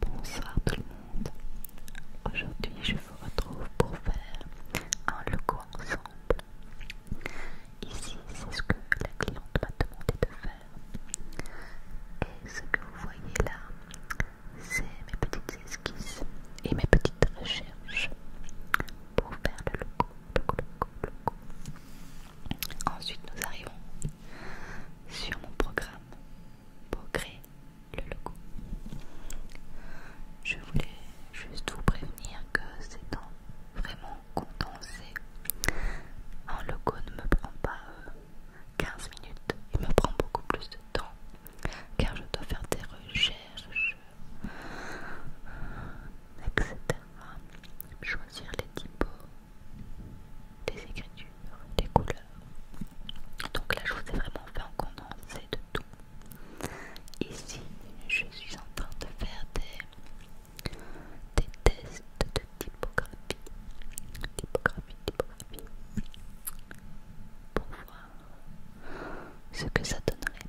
Bonsoir tout le monde. Aujourd'hui, je vous retrouve pour faire un logo ensemble. Ici, c'est ce que la cliente m'a demandé de faire. Et ce que vous voyez là, c'est mes petites esquisses et mes petites recherches pour faire le logo. logo. Ensuite, nous arrivons sur mon programme pour créer le logo. Je voulais juste vous prévenir que c'est temps vraiment condensé. Un logo ne me prend pas 15 euh, minutes, il me prend beaucoup plus de temps car je dois faire des recherches, etc. Choisir les typos, des écritures, des couleurs. Donc là, je vous ai vraiment fait un condensé de tout. Ici, je suis en train de faire des, des tests de typographie. Typographie, typographie. Pour voir ce que ça donnerait.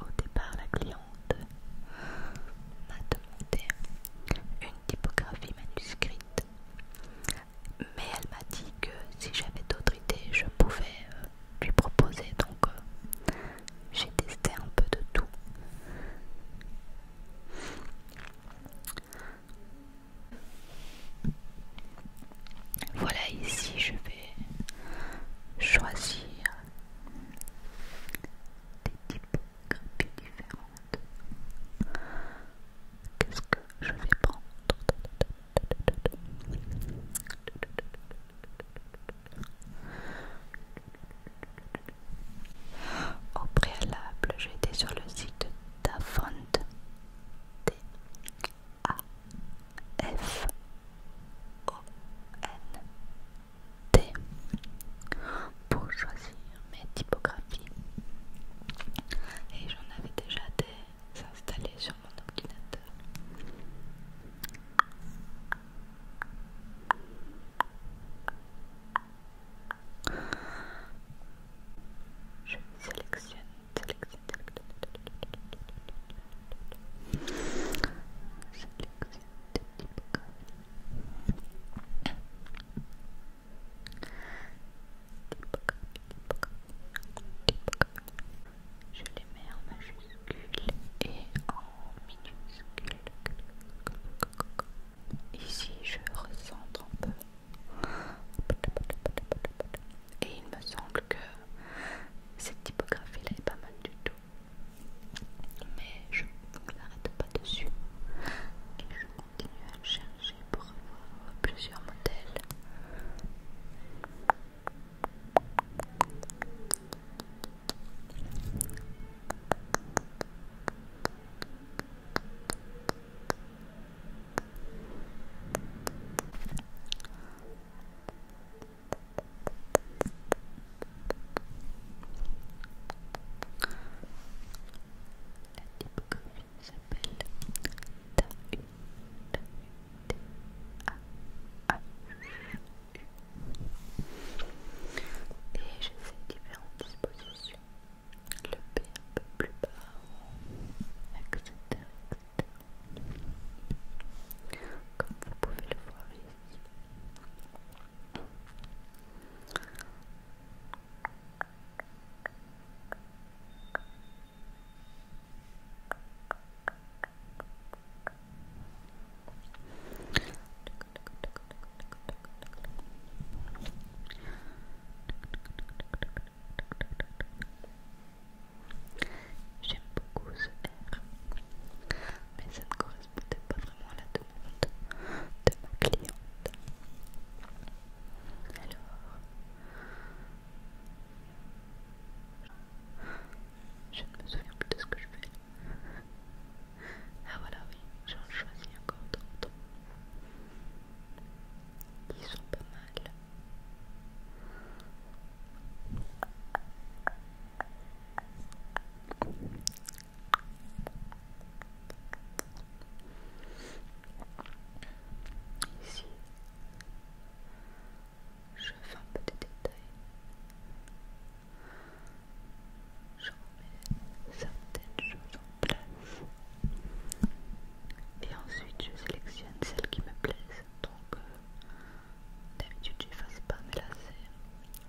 Au départ, la cliente m'a demandé une typographie manuscrite, mais elle m'a dit que si j'avais d'autres idées, je pouvais euh, lui proposer. Donc, euh, j'ai testé un peu de tout. Voilà, ici je vais choisir des types. Qu'est-ce que je vais prendre Au préalable, j'ai été sur le site de d A F O T pour choisir mes typographies et j'en avais déjà des installées sur mon ordinateur. Je sélectionne, sélectionne, sélectionne, je les mets en majuscule et en minuscule. Ici, je recentre un peu. Et il me semble que cette typographie-là est pas mal du tout mais je ne l'arrête pas dessus et je continue à le chercher pour avoir plusieurs modèles la s'appelle U. et j'ai fais différentes dispositions le P un peu plus bas etc comme vous pouvez le voir ici J'aime beaucoup ce R, mais ça ne correspond peut-être pas vraiment à la demande de ma cliente. Alors, je ne me souviens plus de ce que je fais. Ah voilà, oui, j'en choisis encore d'autres. Ils sont pas mal. Ici, je fais un petit détail détails. Je remets certaines choses en place. Et ensuite, je sélectionne celles qui me plaisent. Donc, euh, d'habitude, j'efface pas, de là,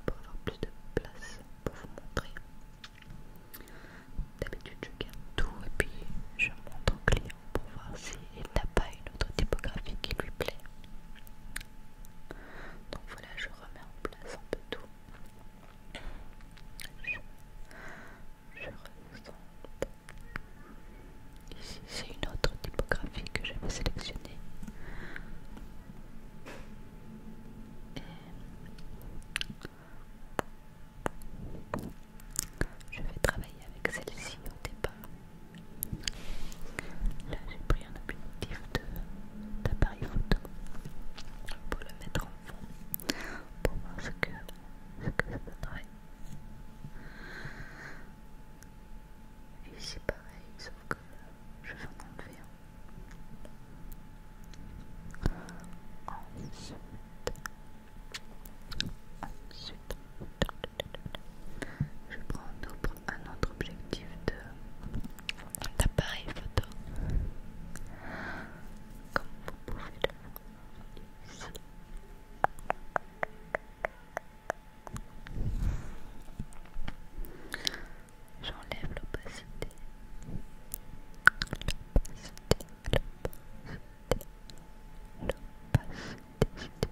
pour avoir plus de place pour vous montrer. D'habitude, je garde tout et puis je montre au client pour voir s'il n'a pas une autre typographie qui lui plaît. Donc voilà, je remets en place un peu tout. Je, je Ici, c'est une autre typographie que j'avais sélectionnée je vais travailler avec celle-ci au départ. Là, j'ai pris un objectif d'appareil photo pour le mettre en fond pour voir ce que, ça donnerait. ici, pareil, sauf je vais en enlever Ensuite, ensuite, je prends un autre, un autre objectif d'appareil photo. Comme vous pouvez le voir ici. J'enlève l'opacité. L'opacité, l'opacité, l'opacité,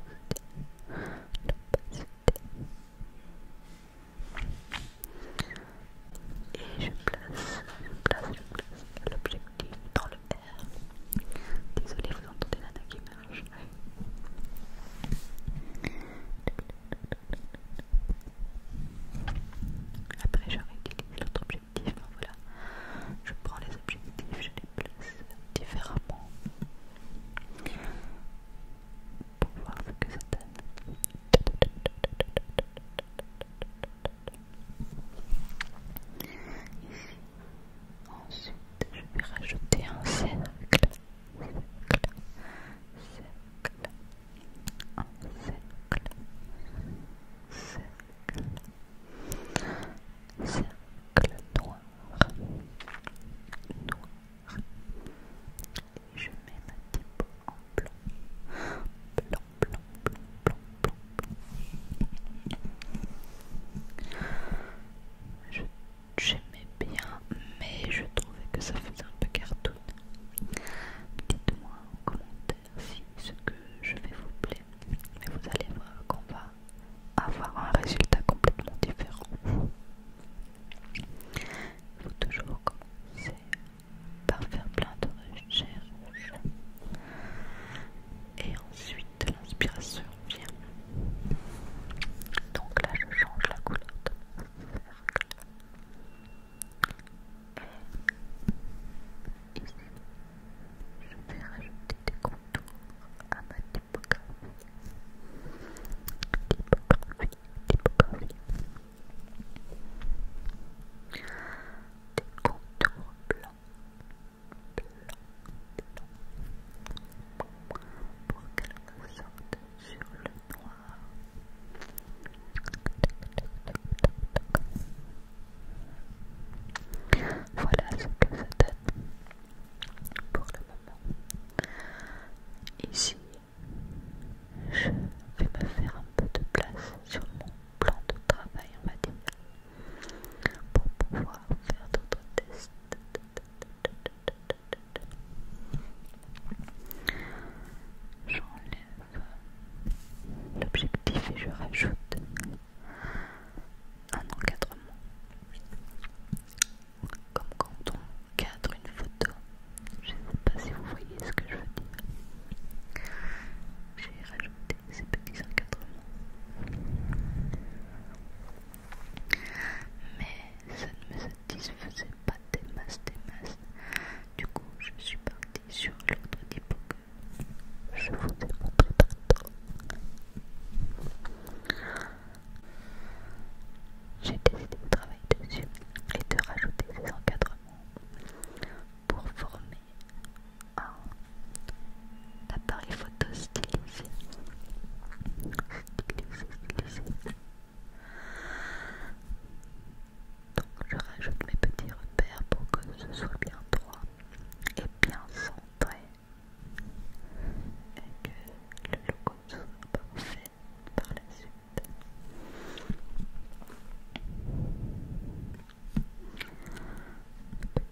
l'opacité. Et je place, je place, je place l'objectif dans le R. Désolée, vous entendez Nana qui marche. Après, je réutilise l'autre objectif. Hein, voilà, je prends les objectifs, je les place différemment pour voir ce que ça donne. Ici, ensuite, je vais rajouter un cercle cercle noir, je mets ma typo en blanc, blanc, blanc, j'aimais bien, mais je trouvais que ça faisait un peu cartoon. Dites-moi en commentaire si ce que je vais vous plaît, mais vous allez voir qu'on va avoir un résultat complètement différent. Il faut toujours commencer par faire plein de recherches et ensuite l'inspiration vient. Donc là je change la couleur et ici je vais rajouter des contours à ma typographie typographie typographie des contours blancs blancs blancs pour qu'elle ressorte sur le noir. Voilà ce que ça donne pour le moment. Ici, je vais me faire un peu de place sur mon plan de travail, en va pour pouvoir faire d'autres tests. J'enlève l'objectif et je rajoute un encadrement. Comme quand on cadre une photo. Je ne sais pas si vous voyez ce que je veux dire. J'ai rajouté ces petits encadrements. Mais ça ne me satisfait faisaient pas des masses, des masses. Du coup, je suis partie sur l'autre d'hypo je vous ai montré J'ai décidé de travailler dessus et de rajouter ces encadrements pour former un appareil photo stylisé. Donc je rajoute mes petits repères pour que ce soit bien droit et bien centré et que le logo soit parfait par la suite.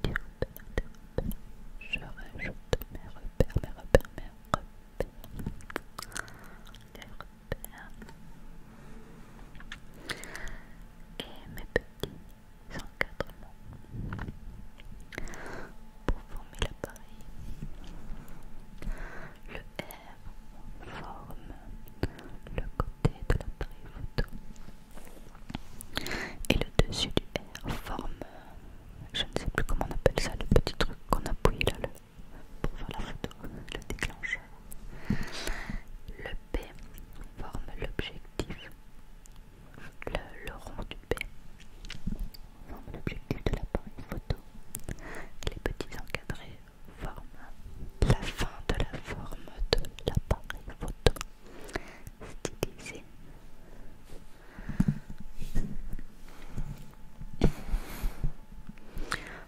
Petit repère, je rajoute mes repères mes Les repères. Et mes petits encadrements pour former l'appareil. Le R forme le côté de l'appareil photo et le dessus du R forme je ne sais plus comment on appelle ça, le petit truc qu'on appuie là pour faire la photo, le déclencheur. Le P forme l'objectif, le, le rond du P forme l'objectif de l'appareil photo. Les petits encadrés forment la fin de la forme de l'appareil photo. Stylisé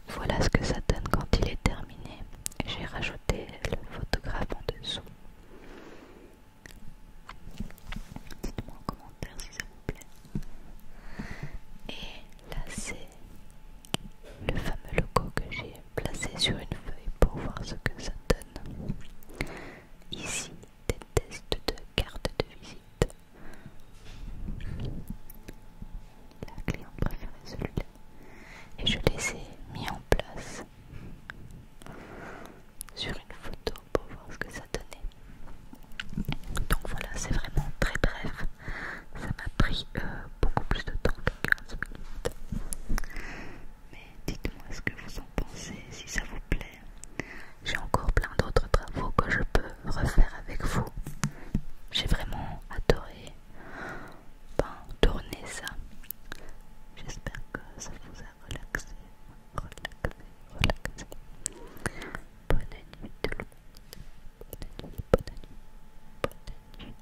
voilà ce que ça donne quand il est terminé. J'ai rajouté le photographe en dessous. Dites-moi en commentaire si ça vous plaît. Et là, c'est le fameux logo que j'ai placé sur une feuille pour voir ce que ça donne. Ici, des tests de cartes de visite. La cliente préférée celui-là. Et je les ai mis en place sur une photo pour voir ce que ça donnait. Donc voilà, c'est vraiment très bref. Ça m'a pris euh, beaucoup plus de temps que 15 minutes. Mais dites-moi ce que vous en pensez, si ça vous plaît, j'ai encore plein d'autres travaux que je peux refaire avec vous. J'ai vraiment adoré ben, tourner ça. J'espère que ça vous a relaxé, relaxé, relaxé. Bonne nuit tout Bonne nuit, bonne nuit, bonne nuit.